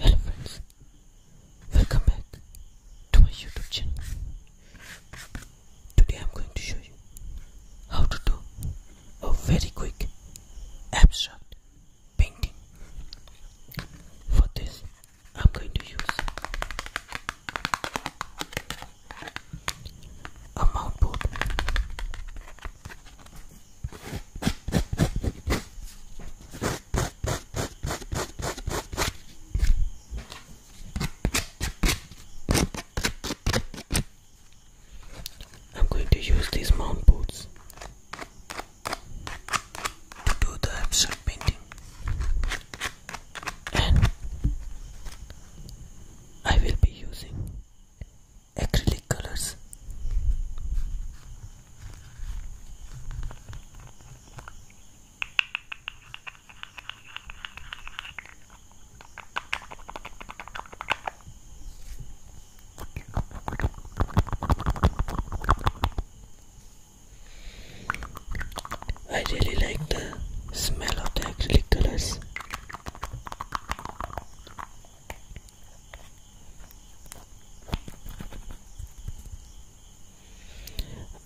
Hello friends, welcome back to my YouTube channel. Today I'm going to show you how to do a very quick abstract painting. For this I'm going to use a mount board. I'm going to use these mount boards to do the abstract painting and I will be using acrylic colors I really like the smell of the acrylic colors.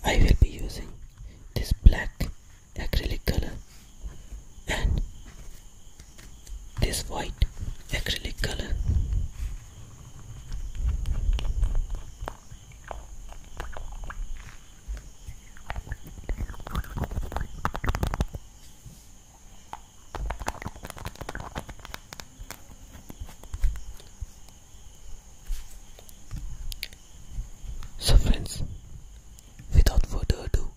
I will be using this black acrylic color and this white acrylic color. So, friends, without further ado,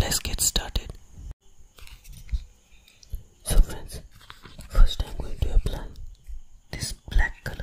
let's get started so friends first i'm going to apply this black color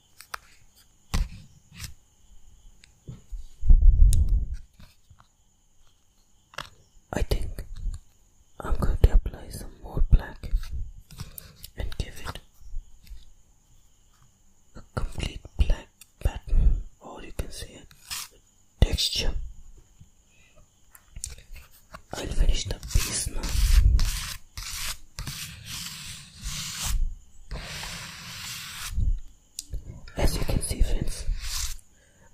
I think I'm going to apply some more black and give it a complete black pattern, or you can say a texture. I'll finish the piece now. As you can see friends,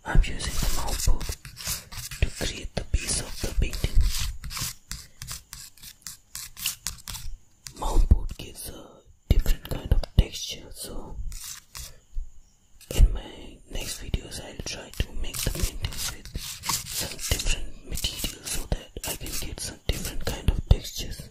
I'm using the mouse to create the piece of the painting. Mountboard gives a different kind of texture so in my next videos I'll try to make the paintings with some different materials so that I can get some different kind of textures.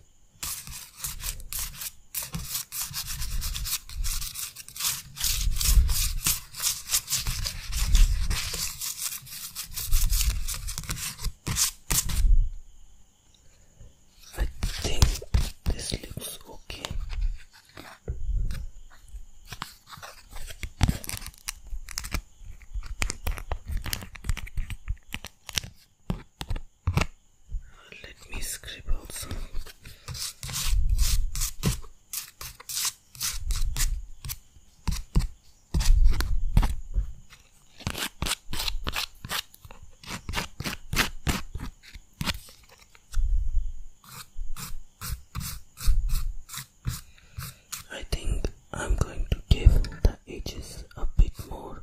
I think this looks okay. Let me scribble some. I think I'm going to give the edges a bit more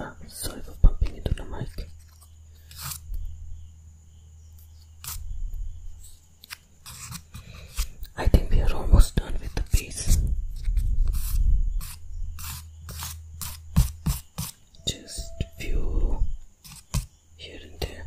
Ah, sorry for bumping into the mic. I think we are almost done with the piece. Just few here and there.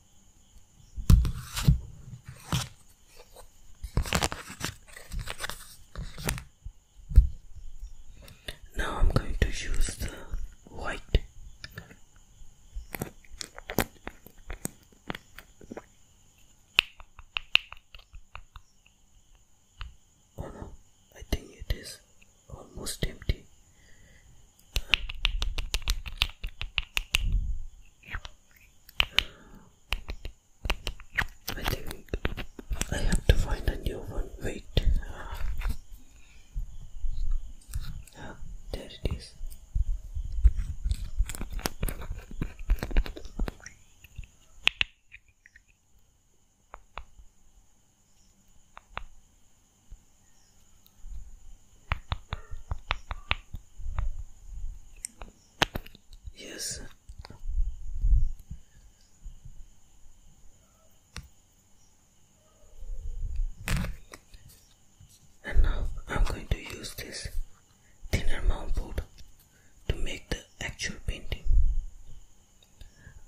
Now I'm going to use the white. Oh no, I think it is almost empty. I think I have to find a new one. Wait. Ah, there it is. Yes. And now I'm going to use this thinner mount board to make the actual painting.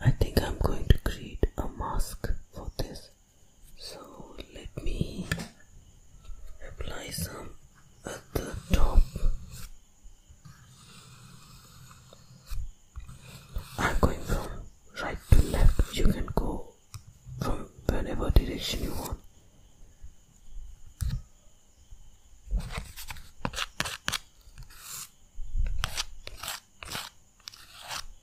I think I'm going to create a mask for this so let me apply some at the top I'm going from right to left you can go from whatever direction you want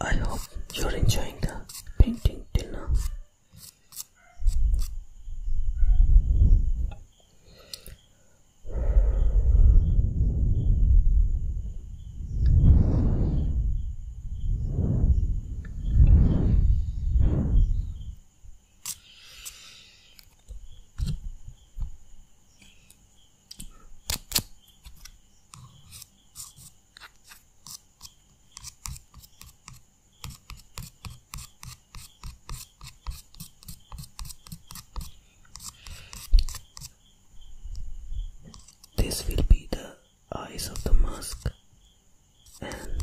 I hope you're enjoying the painting dinner. This will be the eyes of the mask, and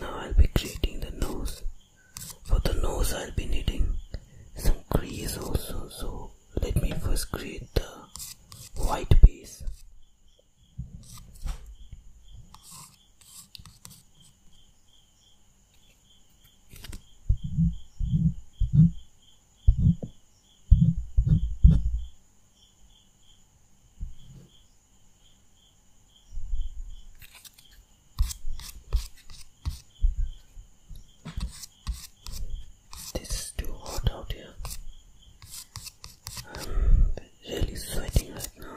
now I'll be creating the nose. For the nose, I'll be needing some crease also, so let me first create the white base this is too hot out here. I'm really sweating right now.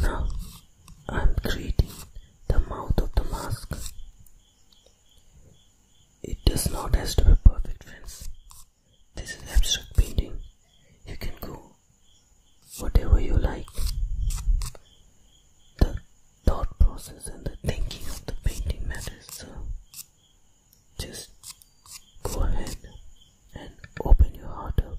Now I'm creating the mouth of the mask. It does not have to be perfect friends. This is abstract painting. You can go whatever you like. The thought process and the thinking of the painting matters so just go ahead and open your heart up.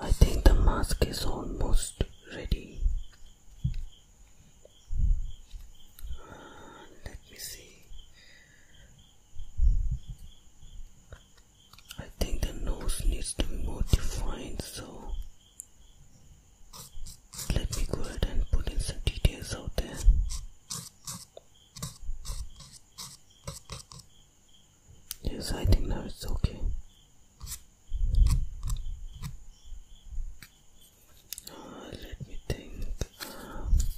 I think the mask is almost ready. let me see. I think the nose needs to be modified, so let me go ahead and put in some details out there yes I think now it's okay uh, let me think uh,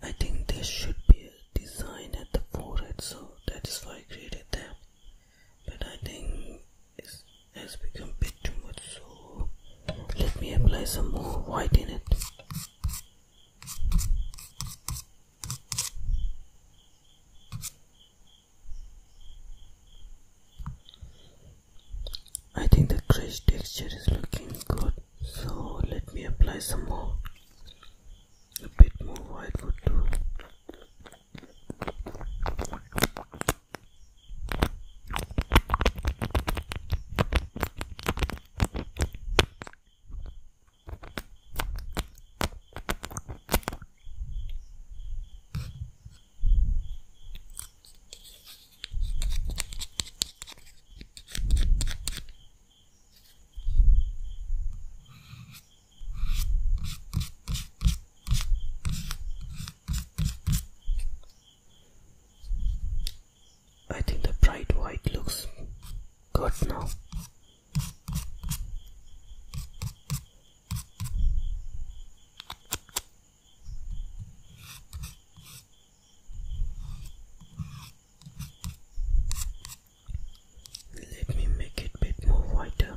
I think there should be a design at the forehead, so that is why I created that. But I think it has become a bit too much, so let me apply some more white in it. I think the crease texture is looking good so let me apply some more a bit more white would do I think the bright white looks good now. Let me make it a bit more wider.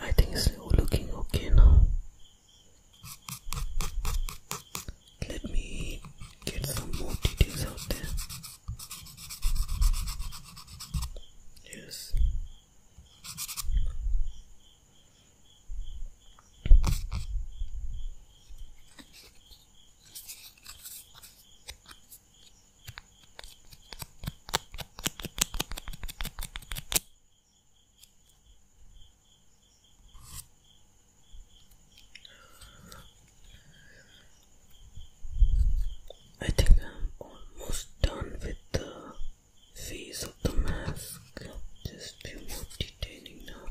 I think it's looking okay now. Let me get some more details out there. Yes. I think I'm almost done with the face of the mask. Just few more detailing now.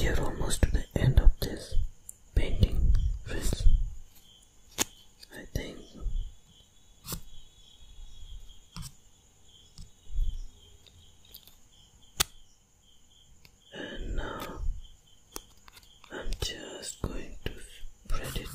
We are almost to the end of this painting, I think and now I'm just going to spread it.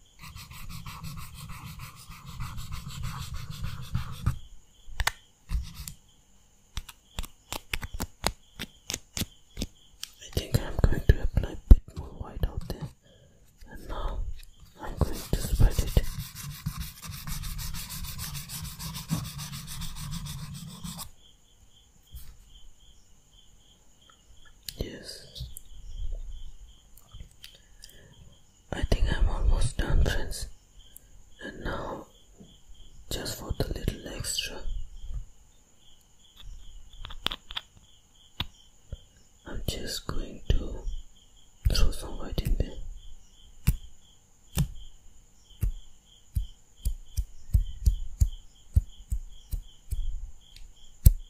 I think I'm going to apply a bit more white out there, and now I'm going to spread it. Yes, I think I'm almost done friends and now just for the little extra I'm just going to throw some white in there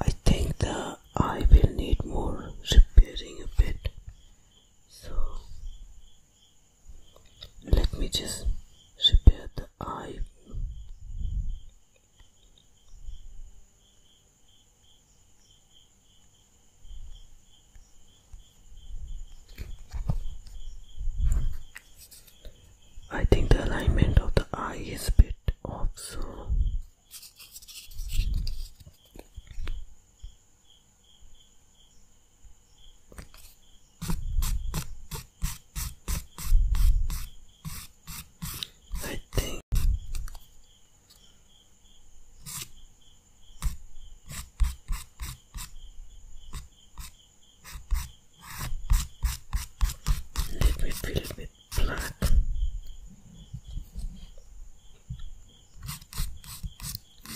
I think the eye will need more repairing a bit so let me just repair the eye I think the alignment of the eye is a bit off so I think liquid filled with blood.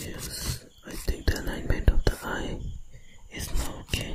Yes, I think the alignment of the eye is not okay.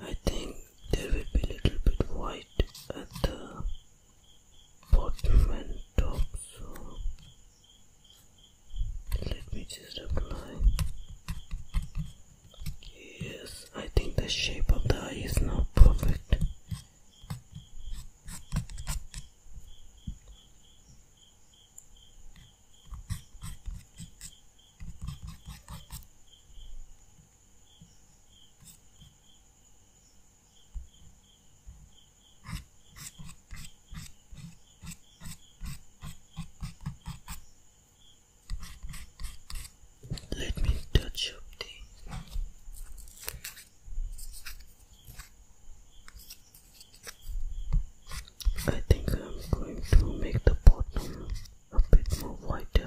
I think there will be a little bit white at the bottom and top so let me just apply yes I think the shape of the eye is not perfect let me touch up the I think I'm going to make the bottom a bit more wider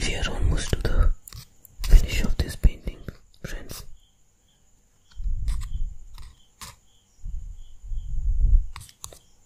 We are almost to the finish of this painting, friends.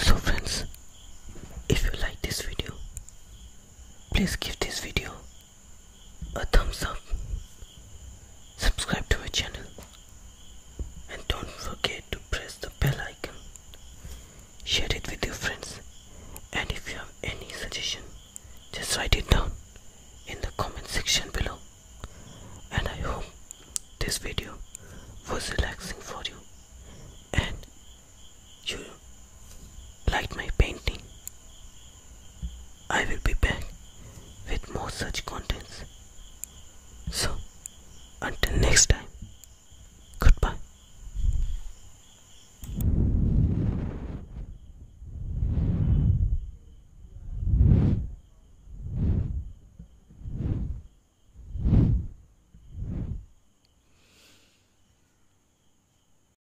So friends, if you like this video, please give this video a thumbs up, subscribe to my channel, and don't forget to press the bell icon. Share it with your friends, and if you have any suggestion, just write it down in the comment section below. And I hope this video was relaxing for you and you like my painting. I will be back with more such contents. So, until next time, goodbye.